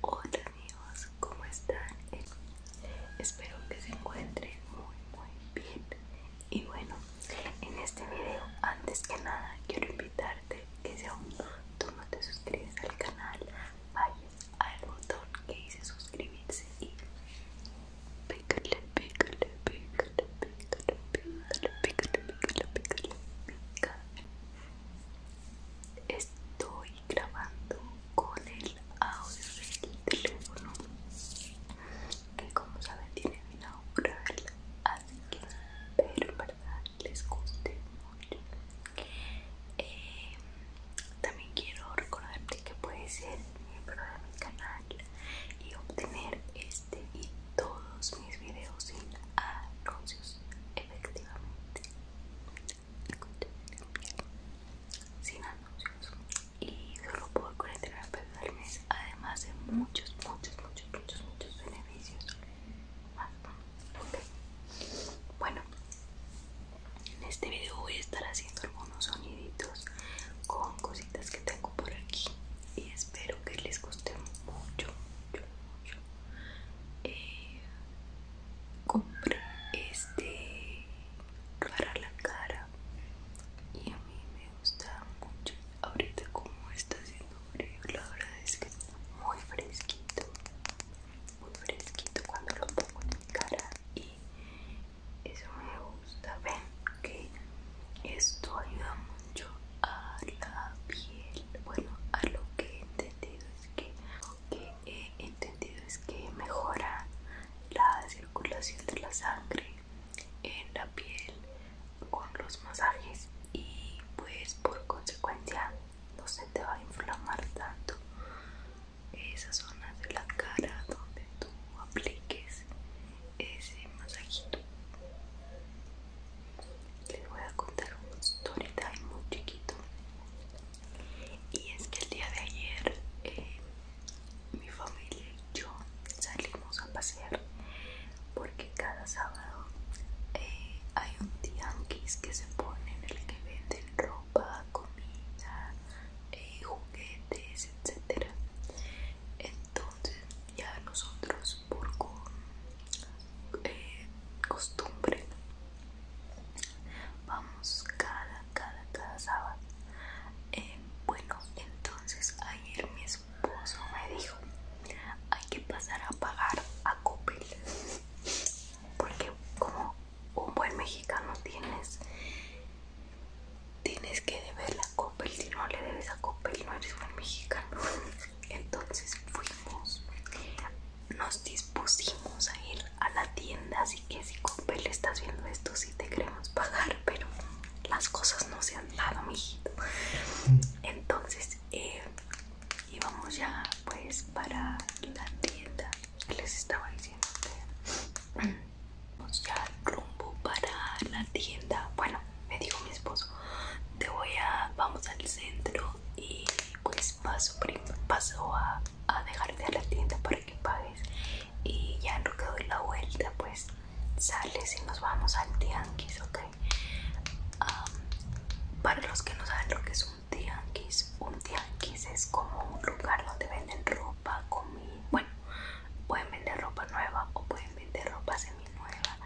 Hola amigos, ¿cómo están? Espero que se encuentren muy muy bien y bueno, en este video antes que nada quiero invitarte que si aún tú no te suscribes al canal vayas al botón que dice suscribirse y pégale, pégale, pégale, pícale, pícale, pícale, pícale, pícale, pícale. Estoy grabando con el audio del teléfono que como saben tiene mi hora así que espero en verdad les guste eh, también quiero recordarte que puedes ser miembro de mi canal y obtener este y todos mis videos sin anuncios efectivamente sin anuncios y solo por 49 pesos al mes además de muchos muchos muchos muchos muchos beneficios más bueno en este video voy a estar haciendo algunos soniditos con cositas que tengo por aquí y espero que les guste mucho, mucho, mucho. Eh, compré este para la cara y a mí me gusta mucho. Ahorita como está haciendo frío, la verdad es que está muy fresquito muy fresquito cuando lo pongo en mi cara y eso me gusta ven que esto ayuda mucho a la piel bueno a lo que he entendido es que que he entendido es que mejora la circulación de la sangre en la piel con los masajes y pues por consecuencia no se te va a inflamar tanto esa zona de la cara donde tú apliques ese masajito les voy a contar un story muy chiquito y es que el día de ayer eh, mi familia y yo salimos a pasear porque cada sábado eh, hay un tianguis que se pone en el que venden ropa, comida, eh, juguetes, etc. Entonces ya nosotros por eh, costumbre vamos cada, cada, cada sábado. bueno, entonces ayer mi esposo me dijo hay que pasar a pagar a Coppel porque como un buen mexicano tienes tienes que deberle a Coppel si no le debes a Coppel no eres buen mexicano entonces fuimos nos dispusimos a ir a la tienda así que si Coppel estás viendo esto si te queremos pagar pero las cosas no se han dado mijito mm. entonces eh, y vamos ya pues para la tienda les estaba diciendo vamos ya rumbo para la tienda bueno me dijo mi esposo te voy a vamos al centro y pues paso paso a, dejarte a la tienda para que pagues y ya no que doy la vuelta pues sales y nos vamos al tianguis ok para los que no saben lo que es un tianguis un tianguis es como un lugar donde venden ropa comida bueno pueden vender ropa nueva o pueden vender ropa semi nueva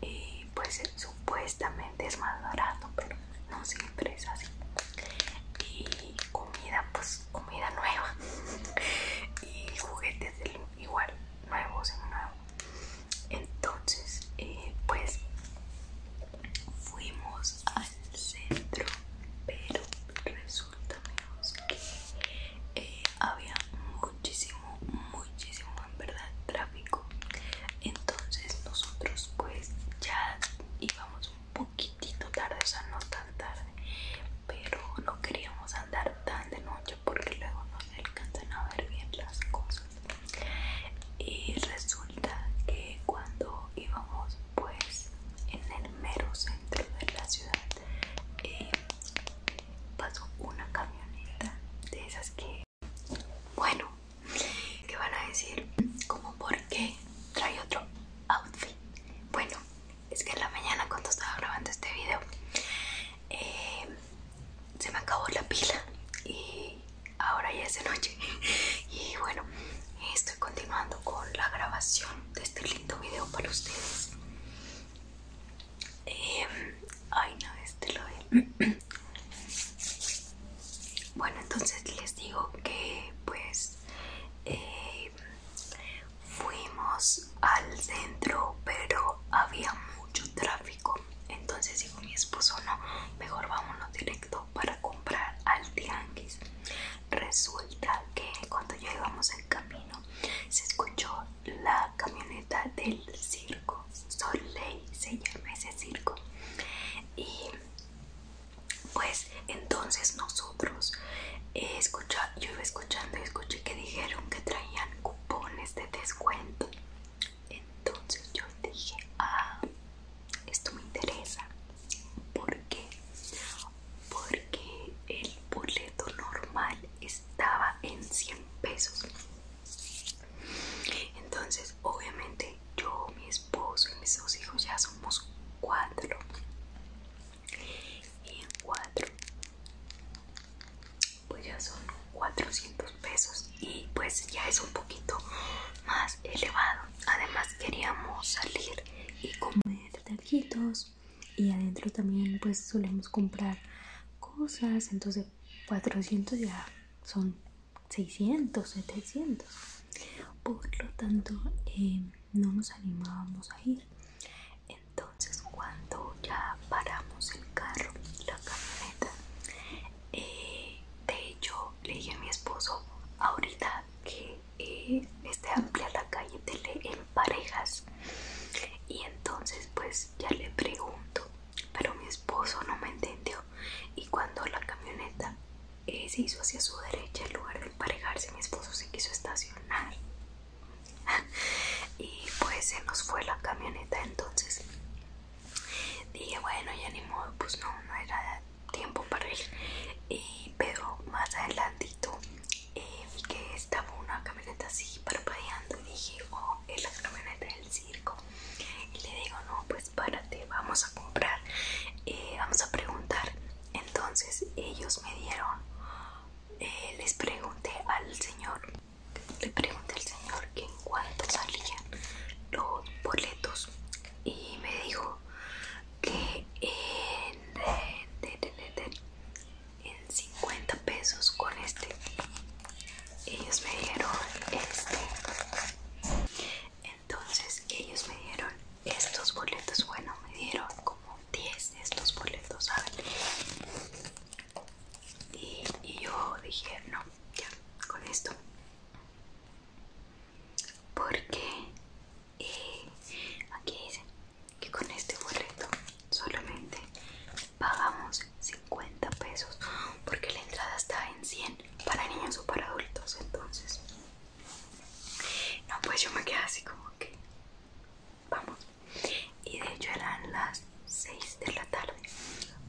y pues supuestamente es más barato pero no siempre es así y comida pues comida nueva y juguetes igual nuevos en nuevo entonces eh, pues fuimos al centro pero resulta menos que eh, había muchísimo muchísimo en verdad tráfico entonces nosotros pues ya íbamos un poquitito tarde o sea no tan tarde pero no queríamos andar tan de noche porque luego no se alcanzan a ver bien las cosas y resulta que cuando íbamos pues en el mero centro de la ciudad eh, pasó una camioneta de esas que bueno que van a decir como por qué trae otro outfit bueno es que en la mañana cuando estaba grabando este video eh, se me acabó la pila y ahora ya es de noche y bueno estoy continuando con la grabación de este lindo video para ustedes em, ay no este lo bueno entonces les digo que pues em, fuimos al centro pero había mucho tráfico entonces digo mi esposo, no, mejor vámonos directo para comprar al tianguis. Resulta que cuando íbamos en camino se escuchó la camioneta del circo. Soleil se llama ese circo. Y pues entonces nosotros eh, yo iba escuchando y escuché que dijeron que traían cupones de descuento entonces yo dije, ah, esto me interesa. ¿Por qué? Porque el boleto normal estaba en 100 pesos. Entonces, obviamente, yo, mi esposo y mis dos hijos ya somos cuatro. Y en cuatro pues ya son 400 pesos y pues ya es un poquito más elevado además queríamos salir y comer taquitos y adentro también pues solemos comprar cosas entonces 400 ya son 600 700 por lo tanto eh, no nos animábamos a ir entonces cuando ya paramos el carro la camioneta eh, de hecho le dije a mi esposo ahorita que eh, esté amplia la calle tele en parejas y entonces pues ya le pregunto pero mi esposo no me entendió y cuando la camioneta eh, se hizo hacia su derecha en lugar de emparejarse mi esposo se quiso estacionar y pues se nos fue la camioneta entonces dije bueno ya ni modo pues no no era tiempo para ir y, pero más adelantito eh, vi que estaba una camioneta así parpadeando y dije oh es la camioneta del circo y le digo no pues párate vamos a comprar eh, vamos a preguntar entonces ellos me dieron eh, les pregunté al señor le pregunté al señor en cuánto salían los boletos y me dijo que en, 50 pesos con este ellos me dieron este entonces ellos me dieron estos boletos bueno me dieron como 10 estos boletos ¿saben? y, yo dije no ya con esto porque eh, aquí dice que con este boleto solamente pagamos 50 pesos porque la entrada está en 100 para niños o para adultos entonces no pues yo me quedé así como que vamos. Y de hecho eran las 6 de la tarde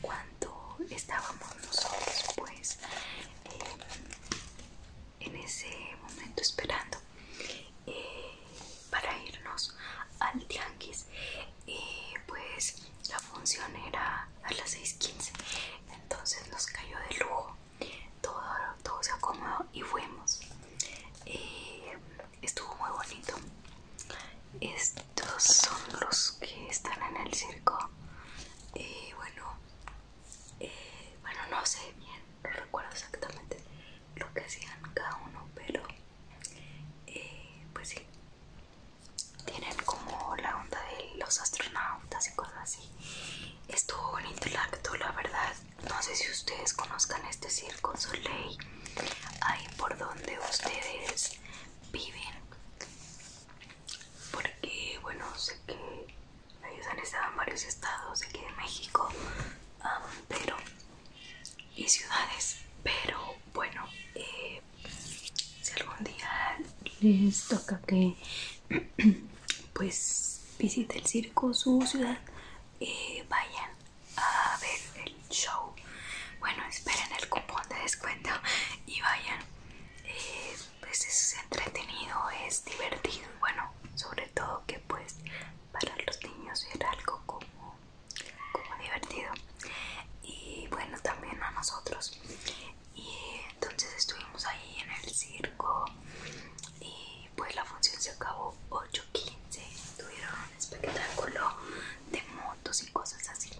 cuando estábamos nosotros pues eh, en ese momento esperando eh, para irnos al tianguis y pues la función era a las 6.15 entonces nos cayó de lujo todo, todo se acomodó y fuimos eh, estuvo muy bonito estos son los que están en el circo y eh, bueno eh, bueno no sé bien no recuerdo exactamente lo que hacían cada uno pero eh, pues sí tienen como la onda de los astronautas y cosas así estuvo bonito el acto la verdad no sé si ustedes conozcan este circo Soleil, ahí por donde ustedes viven, porque bueno, sé que ellos han estado en varios estados aquí de México, pero y ciudades, pero bueno, eh, si algún día les toca que pues visite el circo su ciudad y vayan a ver el show. Bueno, esperen el cupón de descuento y vayan. Eh, pues es entretenido, es divertido. Bueno, sobre todo que pues para los niños era algo como, como divertido. Y bueno, también a nosotros. Y entonces estuvimos ahí en el circo y y pues la función se acabó 8.15 tuvieron un espectáculo de motos y cosas así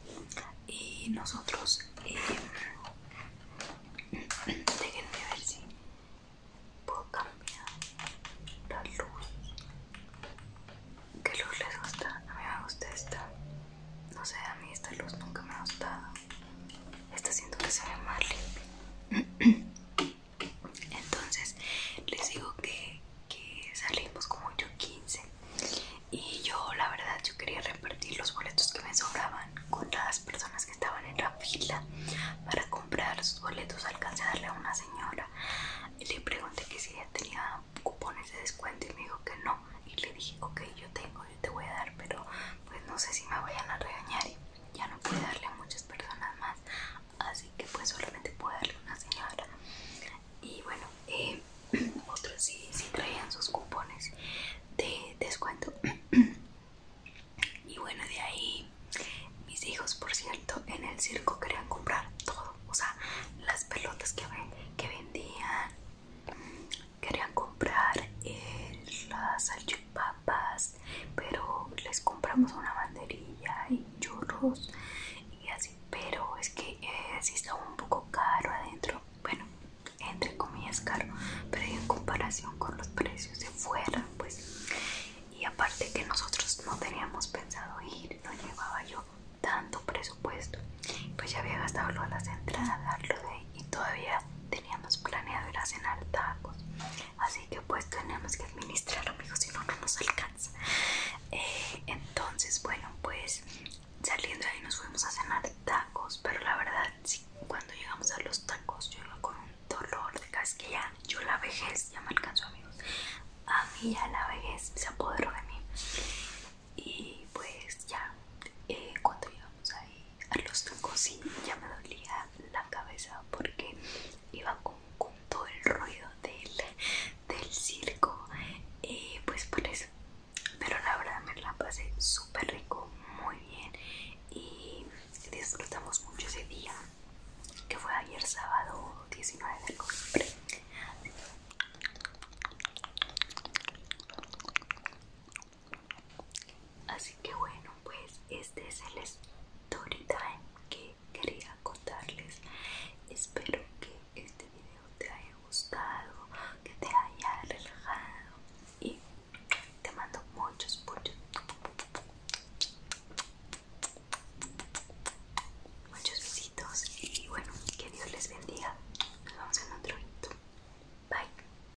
y nosotros eh, déjenme ver si puedo cambiar la luz ¿qué luz les gusta? a mí me gusta esta no sé, a mí esta luz nunca me ha gustado esta siento que se ve más limpia entonces les digo que, salimos como yo 15 y yo la verdad yo quería repartir los boletos que me sobraban con las personas que estaban en la fila para comprar sus boletos alcancé a darle a una señora y le pregunté que si ella tenía cupones de descuento y me dijo que no y le dije ok yo tengo yo te voy a dar pero pues no sé si me vayan a regañar ya no puede darle a muchas personas más así que pues solamente pude darle una señora y bueno eh, otros sí, traían sus cupones de descuento y bueno de ahí mis hijos por cierto en el circo querían comprar todo o sea las pelotas que, que vendían querían comprar eh, las papas, pero les compramos una banderilla y churros y así. Pero es que eh, si está un poco caro adentro, bueno, entre comillas caro, pero en comparación con los precios de fuera, pues. Y aparte que nosotros no teníamos pensado ir, no llevaba yo tanto presupuesto, pues ya había gastado lo de las entradas, lo de y todavía teníamos planeado ir a cenar tacos así que pues tenemos que administrar amigos si no no nos alcanza eh, entonces bueno pues saliendo ahí nos fuimos a cenar tacos pero la verdad sí, cuando llegamos a los tacos yo con un dolor de ya, yo la vejez ya me alcanzó amigos a mí ya la vejez se apoderó de mí y pues ya eh, cuando llegamos ahí a los y ya me dolía la cabeza porque iba con, todo el ruido del, del circo y eh, pues por eso pero la verdad me la pasé súper rico muy bien y disfrutamos mucho ese día que fue ayer sábado 19 de octubre Así que bueno, pues este es el story time que quería contarles. Espero que este video te haya gustado, que te haya relajado y te mando muchos, muchos, muchos besitos y bueno, que Dios les bendiga. Nos vemos en otro video. Bye.